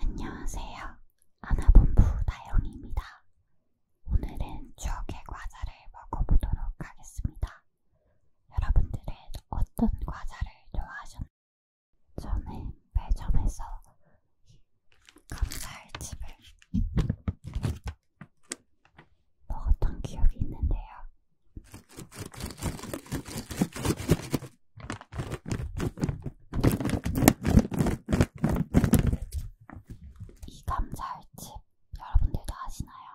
안녕하세요. 아나본부 다영입니다. 오늘은 추억의 과자를 먹어보도록 하겠습니다. 여러분들은 어떤 과자를 좋아하셨나요? 저는 매점에서 감자알집을 먹었던 기억이 있는데요. 이 감자알집 여러분들도 아시나요?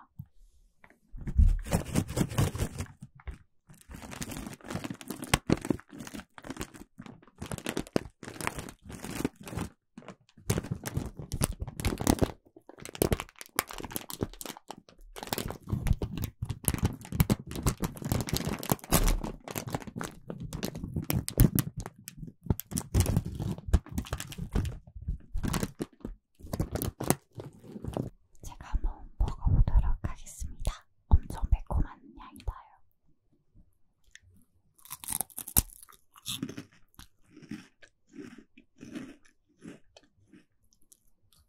제가 한번 먹어보도록 하겠습니다. 엄청 매콤한 향이 나요.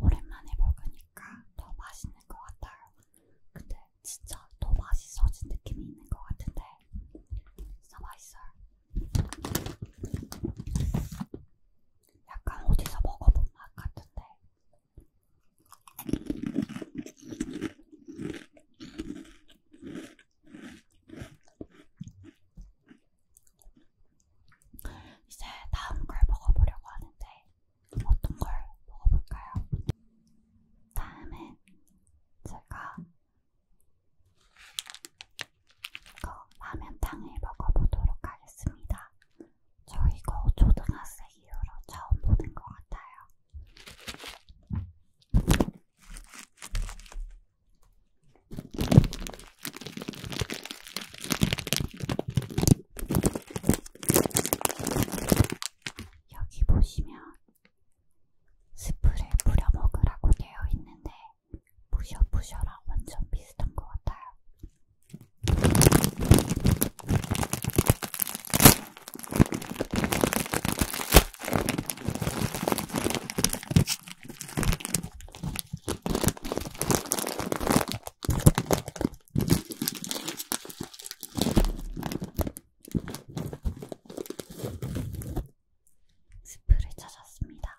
오랜만에 먹으니까 더 맛있는 것 같아요. 근데 진짜 더 맛있어진 느낌이 있는 것 같은데 진짜 맛있어요. 약간 어디서 먹어본 맛 같은데. 이제 다음 걸 먹어보려고 하는데 어떤 걸 먹어볼까요? 다음엔 제가 그 라면탕을 먹어보도록 하겠습니다. 저 이거 초등학생 이후로 처음 보는 것 같아요. 여기 보시면 스프를 뿌려 먹으라고 되어 있는데 부셔부셔랑 완전 비슷한 것 같아요. 스프를 찾았습니다.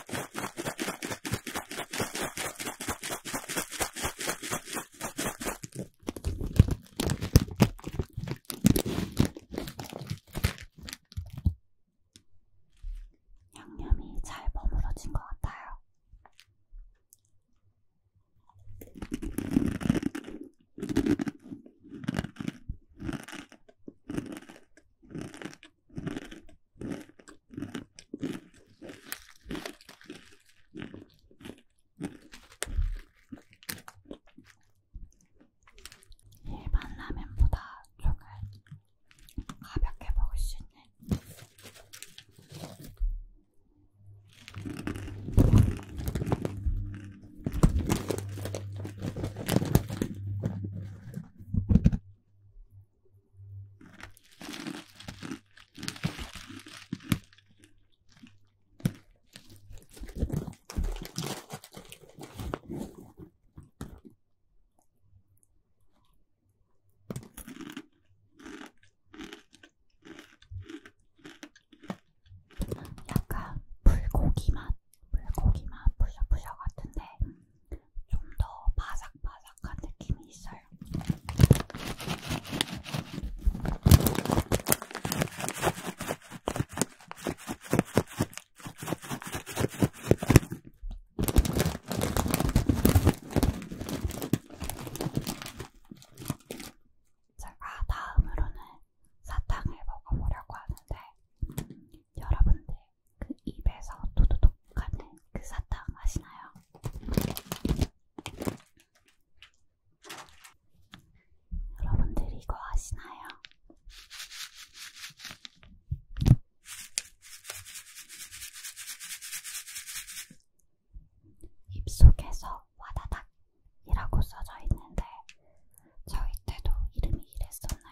양념이 잘 버무려진 것 같아요. 일반 라면보다 조금 가볍게 먹을 수 있는 약간 불고기 맛, 불고기 맛, 부셔부셔 같은데 좀더 바삭바삭한 느낌이 있어요. 제가 아, 다음으로는 사탕을 먹어보려고 하는데 여러분들 그 입에서 도도독 가는 그 사탕 아시나요? 여러분들 이거 아시나요? 입속에서 와다닥이라고 써져 있는데 저희 때도 이름이 이랬었나요?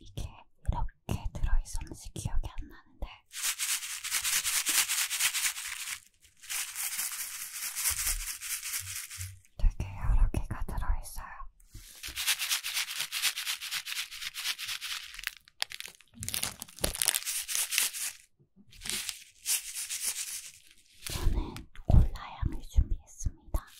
이게 이렇게 들어있었는지 기억이 안 나는데 되게 여러 개가 들어있어요. 저는 콜라 향을 준비했습니다.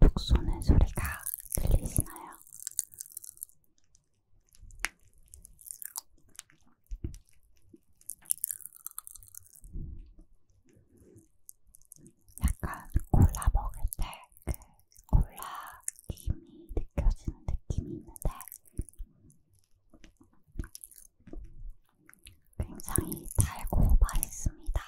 톡톡 쏘는 소리가 들리시나요? 약간 콜라 먹을 때그 콜라 김이 느껴지는 느낌이 있는데 굉장히 달고 맛있습니다.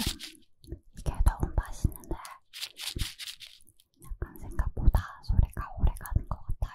이게 너무 맛있는데 약간 생각보다 소리가 오래 가는 것 같아요.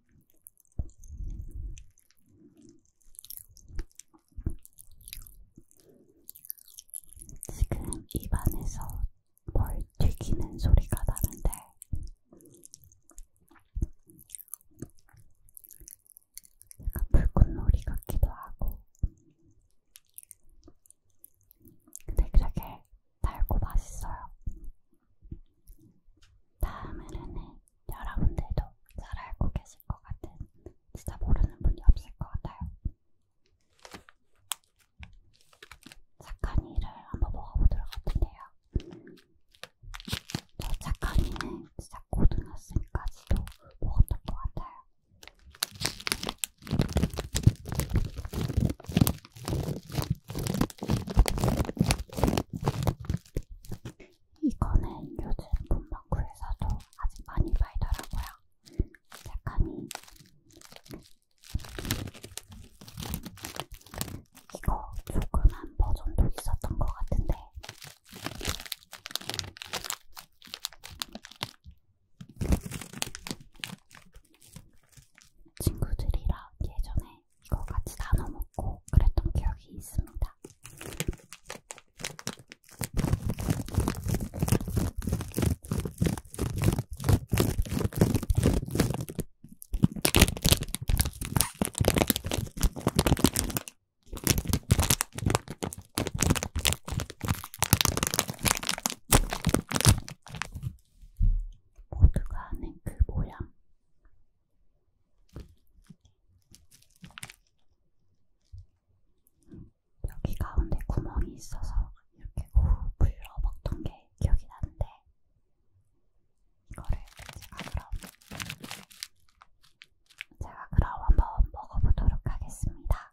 지금 입안에서 뭘 튀기는 소리가 나는데 약간 불꽃놀이 같기도 하고 근데 그렇게 달고 맛있어요. 다음으로는 여러분들도 잘 알고 계실 것 같은 진짜 모르는 분이 없을 것 같아요. 착한이를 한번 먹어보도록 할 텐데요. 저 착한이는 진짜 고등학생까지도 먹었던 것 같아요. 이거는 요즘 문방구에서도 아직 많이 팔더라고요. 약간이 이거 조그만 버전도 있었던 것 같은데 친구들이랑 예전에 이거 같이 나눠 먹고 그랬던 기억이 있습니다. 모두가 아는 그 모양. 여기 가운데 구멍이 있어서 이렇게 우 불러 먹던 게 기억이 나는데 이거를 제가 그럼 제가 그럼 한번 먹어보도록 하겠습니다.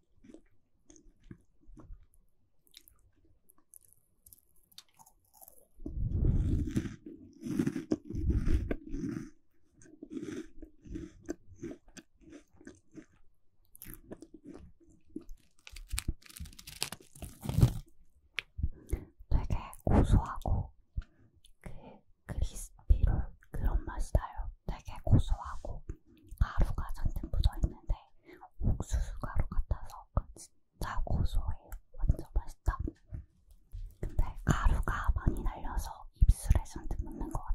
되게 고소하고 그 크리스피롤 그런 맛이 나요. 되게 고소하고 가루가 잔뜩 묻어있는데 옥수수 가루 같아서 진짜 고소해요. 완전 맛있다. 근데 가루가 많이 날려서 입술에 잔뜩 묻는 것 같아요.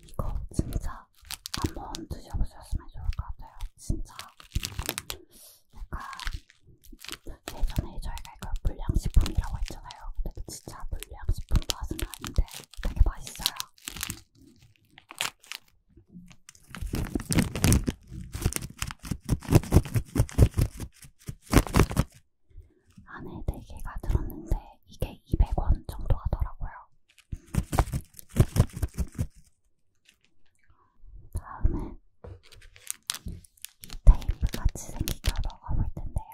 이거 진짜 한번 드셔보셨으면 좋을 것 같아요. 진짜 약간 예전에 저희가 이걸 불량식품이라고 했잖아요. 근데 진짜 불량식품 맛은 아닌데 되게 맛있어요. 안에 4개가 들었는데 이게 200원 정도 하더라고요. 다음에 이 테이프 같이 생긴 걸 먹어볼 텐데요.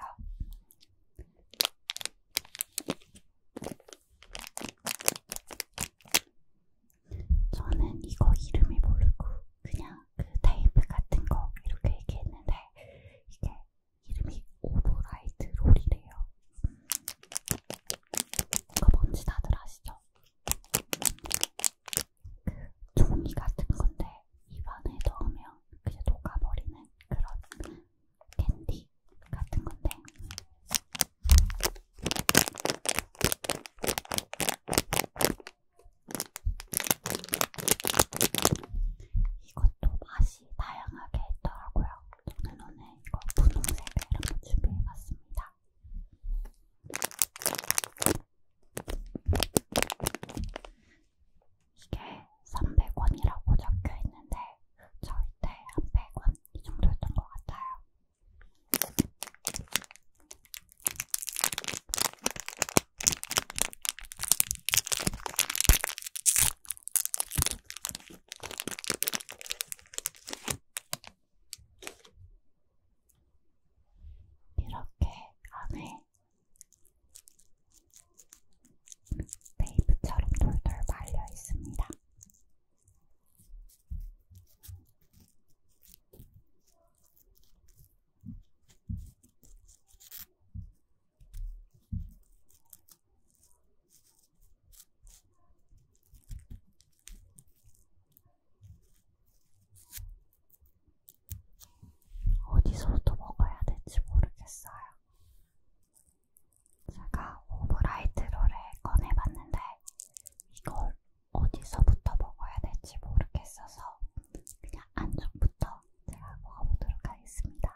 저는 이거 이름을 모르고 그냥 그 테이프 같은 거 이렇게 얘기했는데 이게 이름이 오브라이트 롤이래요. 그거 뭔지 다들 아시죠? 그 종이 같은 건데 입안에 넣으면 그냥 녹아버리는 그런 캔디 같은 건데 이것도 맛이 맛이 다양하게 있더라고요. 저는 오늘 이거 분홍색을 한번 준비해봤습니다. 이게 300원이라고 적혀있는데 절대 한 100원 이 정도였던 것 같아요. 이렇게 안에 테이프처럼 돌돌 말려 있습니다. 어디서부터 먹어야 될지 모르겠어요. 제가 오브라이트 롤을 꺼내봤는데 이걸 어디서부터 먹어야 될지 모르겠어서 그냥 안쪽부터 제가 먹어보도록 하겠습니다.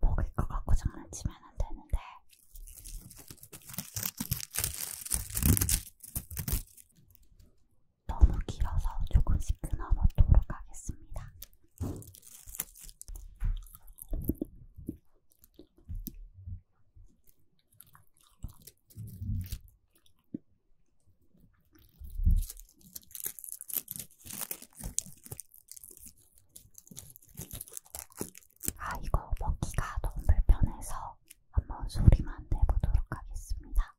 먹을 것 같고 장난치면 안 되는데. 너무 길어서 조금씩 끊어 먹도록 하겠습니다. 아, 이거 먹기가 너무 불편해서 한번 소리만 내보도록 하겠습니다.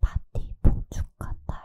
파티 보충 같아요.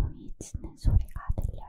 종이 치는 소리가 들려요.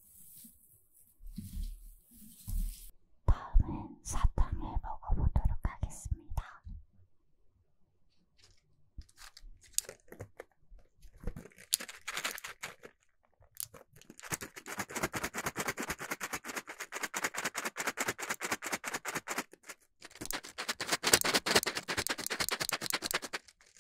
다음은 사탕을 먹어보도록 하겠습니다.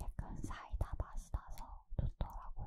약간 사이다 맛이 나서 좋더라고요.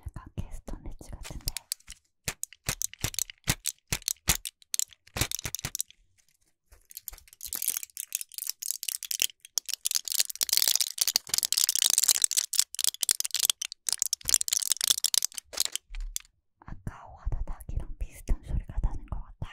약간 캐스터네츠 같은데 아까 와다닥이랑 비슷한 소리가 나는 것 같아요.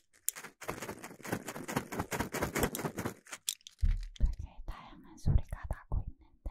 되게 다양한 소리가 나고 있는데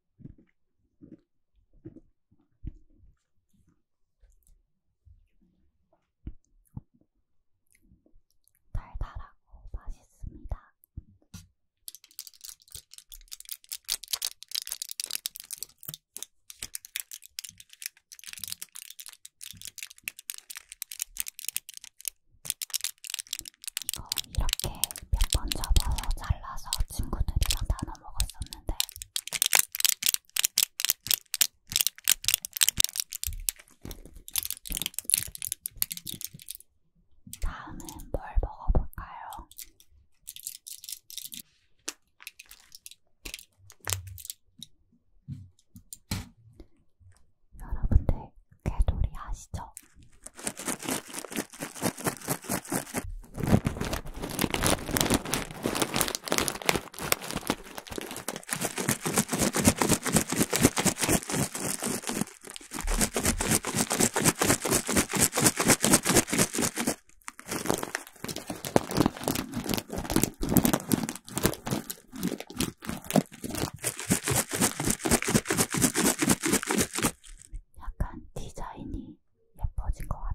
달달하고 맛있습니다. 이거 이렇게 몇 번 접어서 잘라서 친구들이랑 나눠 먹었었는데 다음은 뭘 먹어볼까요? 여러분들 개돌이 아시죠? 약간 디자인이 예뻐진 것 같아요.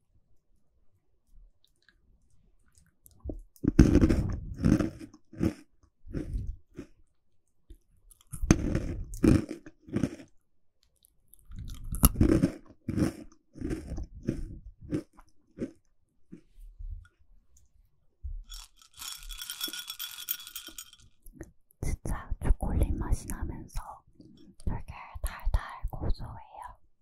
진짜 초콜릿 맛이 나면서 되게 달달 고소해요.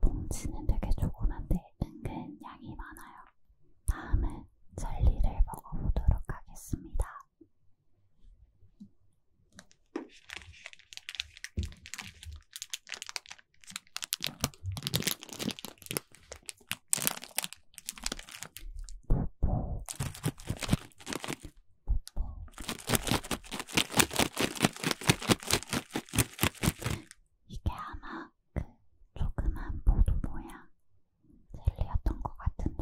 봉지는 되게 조그만데 은근 양이 많아요. 다음은 젤리를 먹어보도록 하겠습니다. 뽀뽀. 뽀뽀. 이게 아마 그 조그만 보도 모양 젤리였던 것 같은데.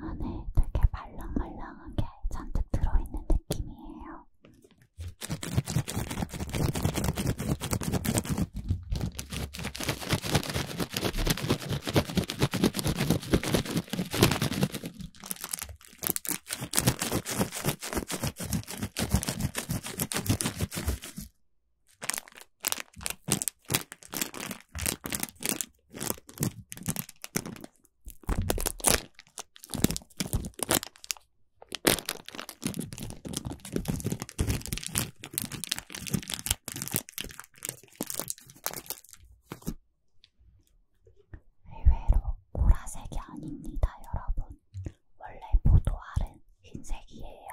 안에 되게 말랑말랑한 게 잔뜩 들어있는 느낌이에요. 의외로 보라색이 아닙니다, 여러분. 원래 포도알은 흰색이에요.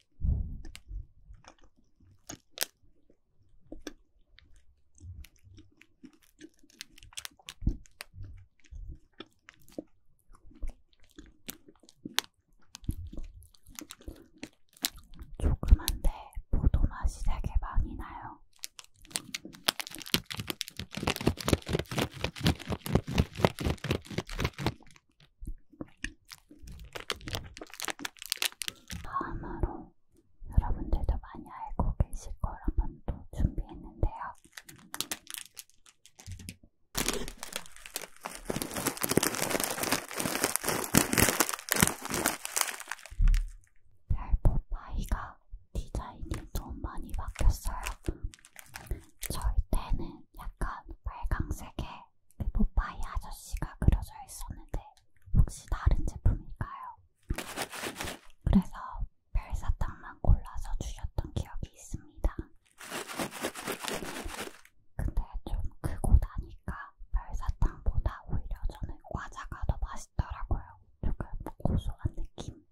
조그만데 포도 맛이 되게 많이 나요. 다음으로 여러분들도 많이 알고 계실 걸 한번 또 준비했는데요. 별포파이가 디자인이 좀 많이 바뀌었어요. 저희 때는 약간 빨강색에 에버파이 아저씨가 그려져 있었는데 혹시 다른 제품일까요? 그래서 별사탕만 골라서 주셨던 기억이 있습니다. 근데 좀 크고 나니까 별사탕보다 오히려 저는 과자가 더 맛있더라고요. 조금 고소한 느낌?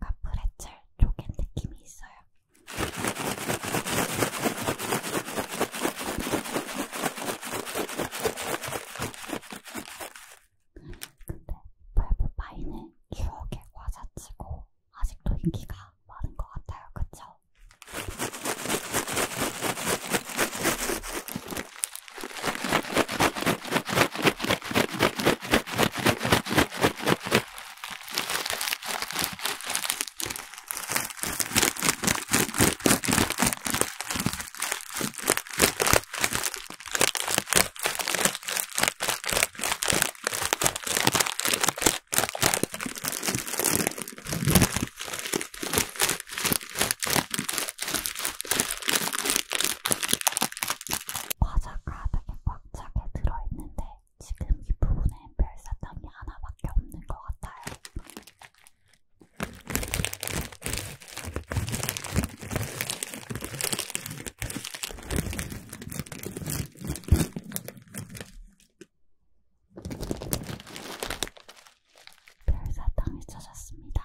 카프레첼 쪼갠 느낌이 있어요. 근데 벨브파이는 추억에 과자치고 아직도 인기가 많은 것 같아요. 그쵸? 과자가 되게 꽉 차게 들어있는데 지금 이 부분에 별사탕이 하나밖에 없는 것 같아요. 별사탕을 찾았습니다.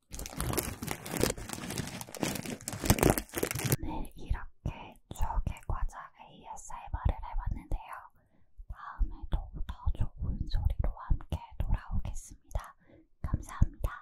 오늘 네, 이렇게 추억의 과자 ASMR을 해봤는데요. 다음에도 더 좋은 소리로 함께 돌아오겠습니다. 감사합니다.